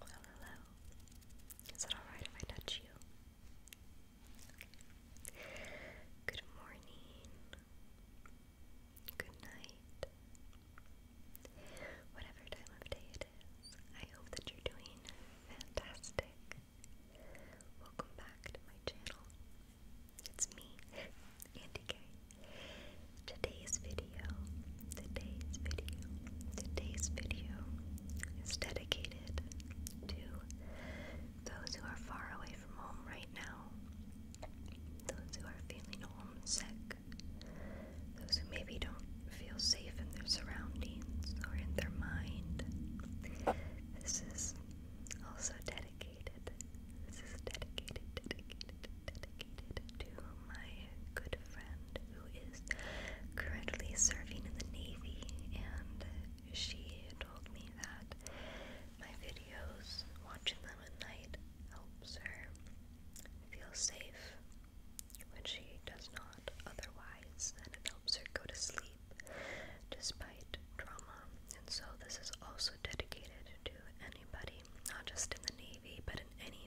Hello, hello. Is it alright if I touch you? Good morning. Good night. Whatever time of day it is, I hope that you're doing fantastic. Welcome back to my channel. It's me, Andy K. Today's video today's video, today's video is dedicated to those who are far away from home right now, those who are feeling homesick, those who maybe don't feel safe in their surroundings or in their mind. This is also dedicated. This is dedicated, dedicated, dedicated to my good friend who is currently serving in the Navy, and she told me that my videos, watching them at night, helps her feel safe when she does not otherwise, and it helps her go to sleep despite trauma. And so, this is also dedicated to anybody, not just in the Navy, but in any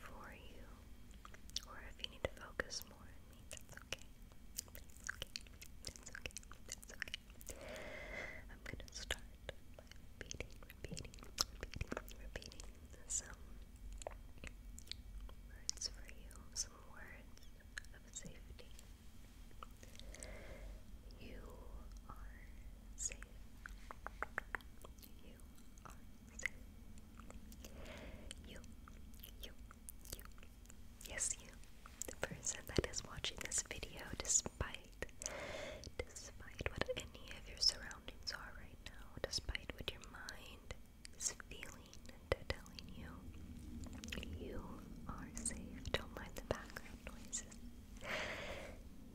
for you, or if you need to focus more on me, that's okay. That's okay. That's okay. That's okay. I'm gonna start repeating, repeating, repeating, repeating some words for you, some words of safety. You are safe. You are safe. You, you, you, yes, you, the person that is watching this video, despite, despite what any of your surroundings are right now, despite what your mind is feeling and telling you, you are safe. Don't mind the background noises.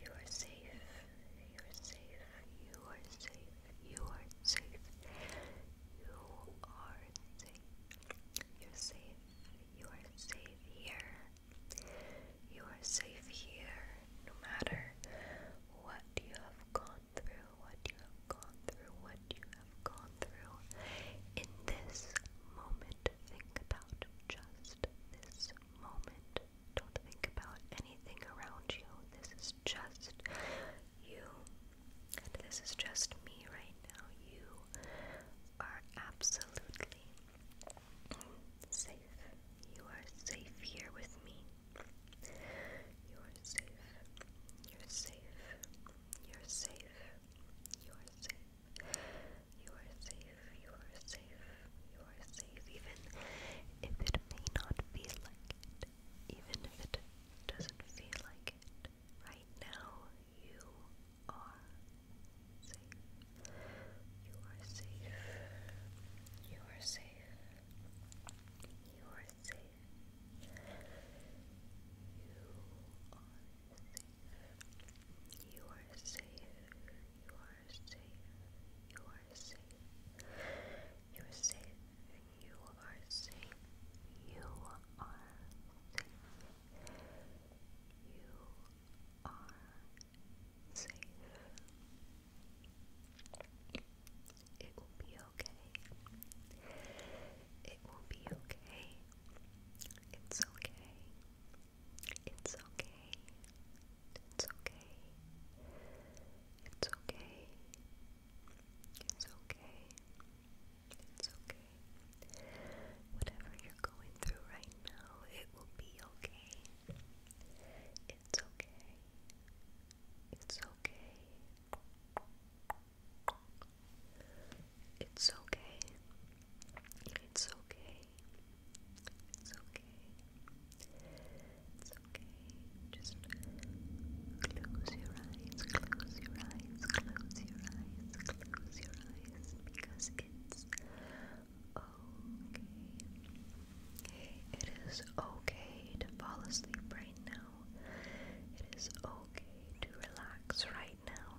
You are safe. You are safe. You are safe. You are safe. You are safe. You're safe. You are safe here. You are safe here. No matter what you have gone through, what you have gone through, what you have gone through. In this moment, think about just this moment. Don't think about anything around you. This is just you. And this is just me right now. You are absolutely safe. You are safe here with me. You are safe. You're safe. You're safe. You're safe. You are safe, you are safe, you are safe, even if it may not feel like it, even if it doesn't feel like it. Right now, you are safe. You are safe, you are safe, you are safe, you are safe. You are safe. You are safe. You are safe. You are safe. You are safe. You are safe. It will be okay. It will be okay. It's okay. It's okay. It's okay. It's okay. It's okay. It's okay. Whatever you're going through right now, it will be okay. It's okay. It's okay. It's okay. It's okay. It's okay. It's okay. Just close your eyes, close your eyes, close your eyes, close your eyes because it's okay. It is okay to fall asleep right now. It is okay to relax right now.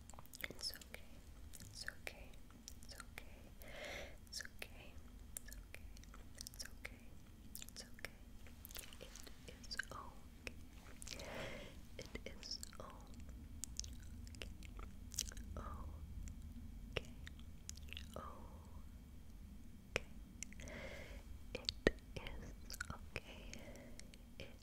It's okay. It's okay. It's okay. It's okay. It's okay. It's okay. It's okay. It is okay. It is okay. Okay. Okay. It is okay. It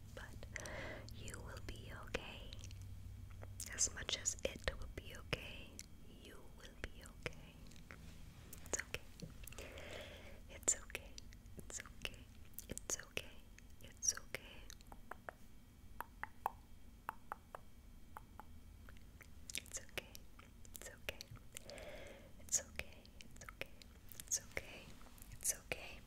but you will be okay. As much as it will be okay, you will be okay. It's okay. It's okay. It's okay. It's okay. It's okay. It's okay. It's okay. It's okay. It's okay. It's okay. It's okay.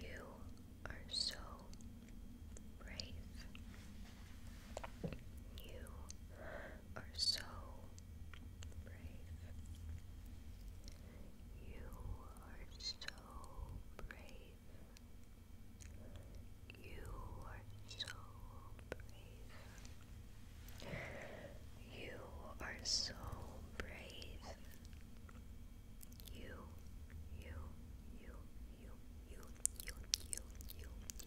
You are so brave. You are so brave. You are so brave. You are so brave. You are so brave. You, you, you, you, you, you, you, you,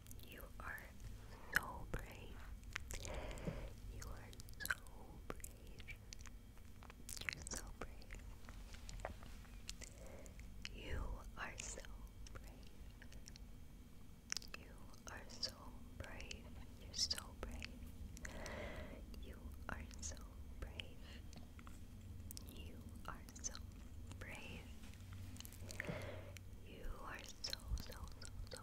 You are so brave. You are so brave. You're so brave. You are so brave. You are so brave. You're so brave. You are so brave. You are so so, so, so,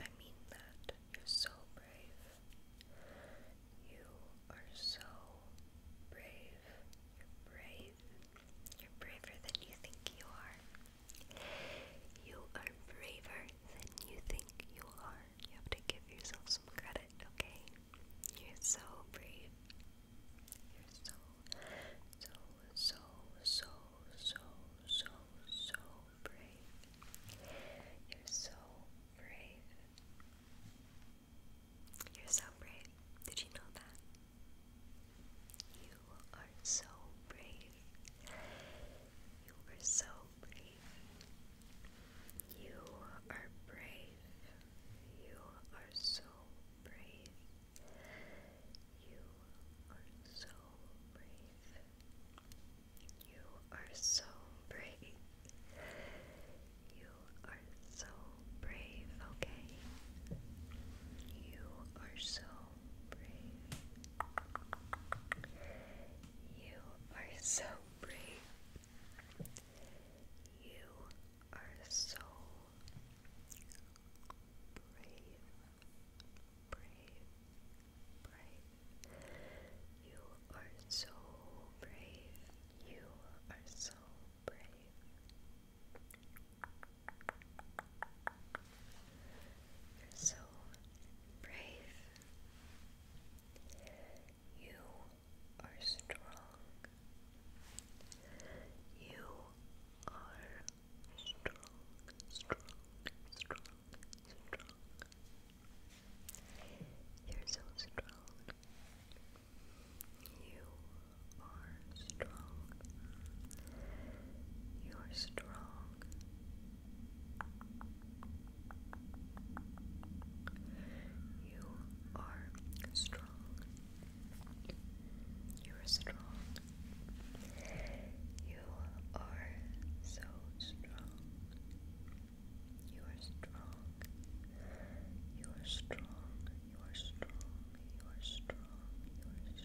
I mean that. You're so brave. You are so brave. You're brave. You're braver than you think you are. You are braver than you think you are. You have to give yourself some credit, okay? You're so brave. You're so, so, so, so, so, so, brave. You're so brave. You're so brave. Did you know that? You are so brave. You are so brave. You are brave. You are so brave. You are so brave. You are so brave. You are so brave, okay? You are so brave. You are so brave. You are so brave brave, brave. You are so brave. You are so brave. so brave. You are strong. You are strong, strong, strong, strong. You're so strong. You are strong. You're strong. You are strong. You're strong. You are so strong. You are strong. You are strong. You are strong. You are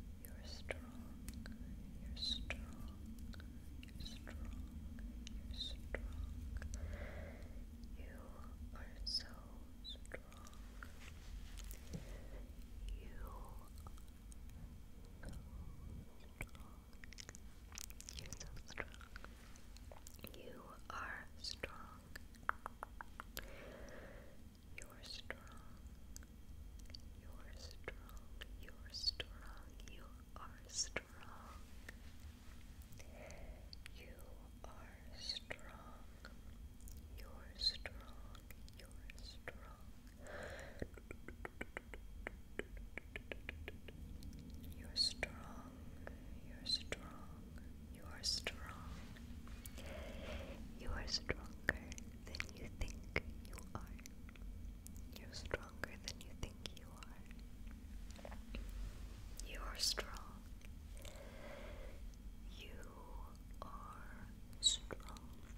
strong. You are strong. You are strong. You're strong. You're strong. You're so strong. You you're so strong. You are strong. You are strong. You are strong. You're strong. You're strong. You're strong. You're strong. You are strong. You are stronger than you think you are. You're stronger than you think you are. You are strong. You are strong.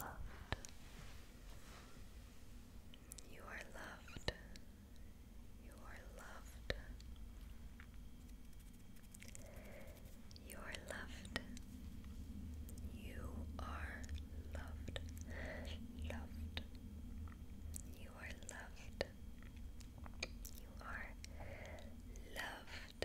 loved. You are loved. You are loved. You are loved. You are loved. Loved. You are loved. You are loved.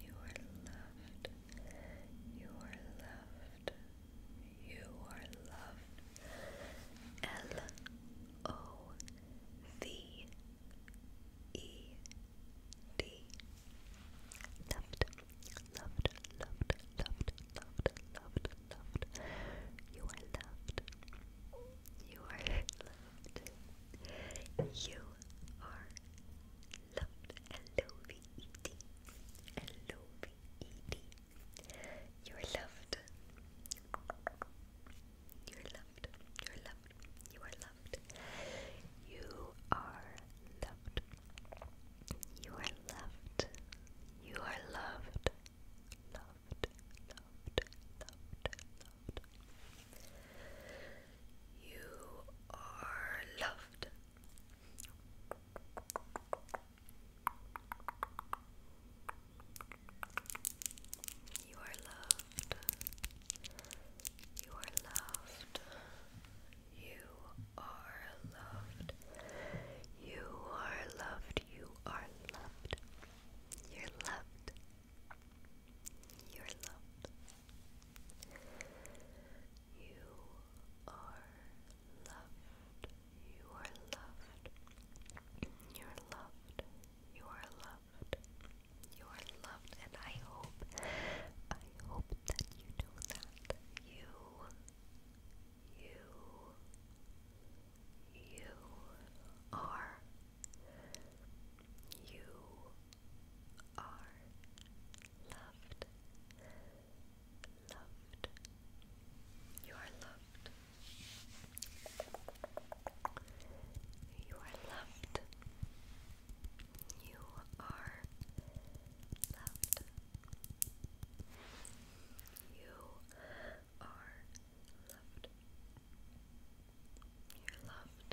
You are loved. You are loved. You are loved. L O V E D. Loved, loved, loved, loved, loved, loved, You are loved. You are loved. You are loved L-O-V-E-D, L-O-V-E-D. You're loved. You're loved. You're loved. You are loved. You are loved. You are loved. You are Loved. Loved. Loved. Loved. loved. You are loved. You are loved. You are loved. You are loved. You are loved. You are loved. You're loved. You're loved. You are loved. You are loved. You are loved. You are loved. You are loved, and I hope, I hope that you know that you, you, you are, you are loved. Loved. You are loved. You are loved. You are loved. You are loved. You're loved.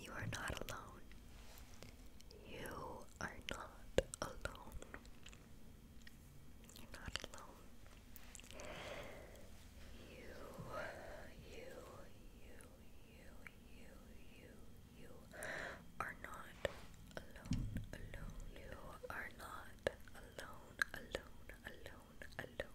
You are not alone. You are not alone. You're not alone. You, you, you, you, you, you, you are not alone, alone. You are not alone, alone, alone, alone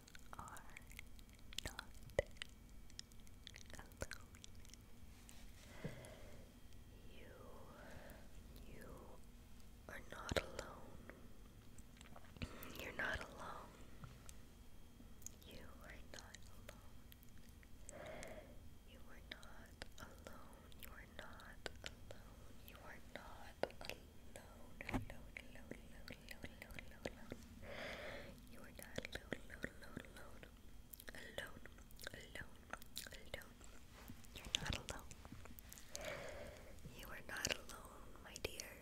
are not alone. You, you are not alone. You're not alone. You are not alone. You are not alone. You are not alone. You are not alone. alone, you are not alone, alone. Alone, alone, alone. You're not alone. You are not alone, my dear.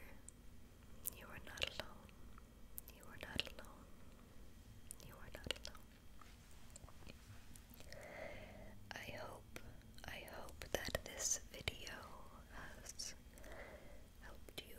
You are not alone. You are not alone. You are not alone. I hope, I hope that this video has helped you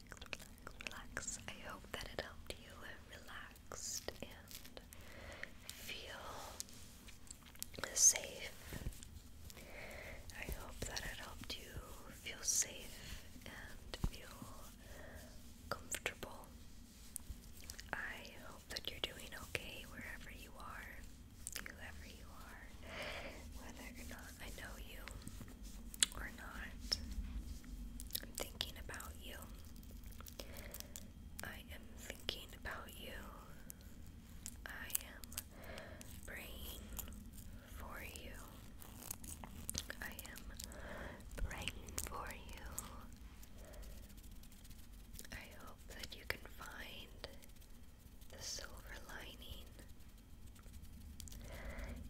relax, I hope that it helped you relaxed and feel safe. I hope that it helped you feel safe and feel comfortable. I hope that you're doing okay wherever you are, whoever you are, whether or not I know you or not. I'm thinking about you. I am thinking about you. I am praying for you. I am praying for you. I hope that you can find the silver lining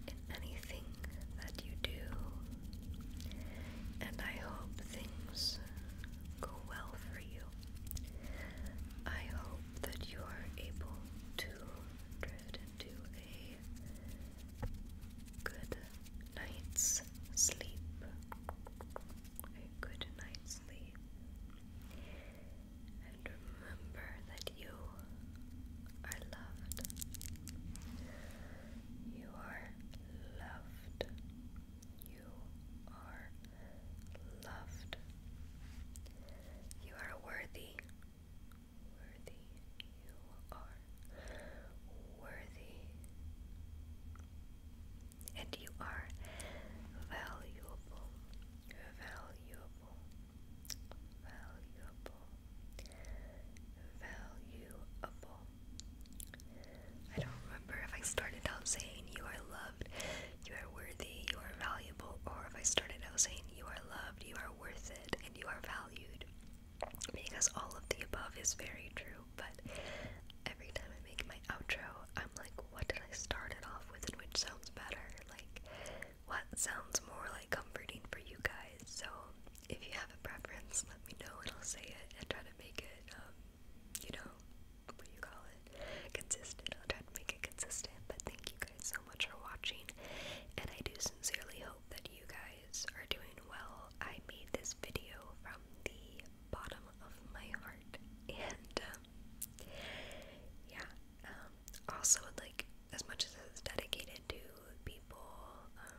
in anything that you do, and I hope things go well for you. I hope that you are able to drift into a good night's sleep. A good night's sleep. And remember that you are loved. You are loved. You are loved. You are worthy. Worthy. You are worthy. And you are valuable. Valuable valuable, valuable. I don't remember if I started out saying you are loved, you are worthy, you are valuable, or if I started out saying you are loved, you are worth it, and you are valued. Because all of the above is very true, but every time I make my outro, I'm like, what did I start it off with and which sounds better? Like, what sounds more like comforting for you guys. So if you have a preference, let me know and I'll say it and try to make it, um, you know, what do you call it? Consistent. I'll try to make it consistent. But thank you guys so much for watching, and I do sincerely hope that you guys are doing well. I made this video from the bottom of my heart, and um, yeah. Um, also, would like as much as it's dedicated to people um,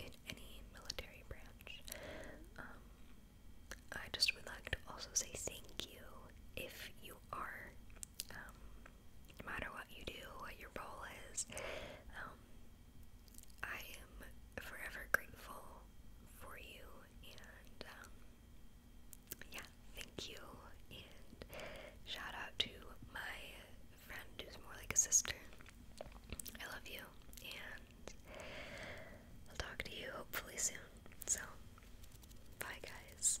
in any military branch, um, I just would like to also say thank you if you are, um, no matter what you do, what your role is. I am forever grateful for you, and yeah, thank you. And shout out to my friend who's more like a sister. I love you, and I'll talk to you hopefully soon. So, bye, guys.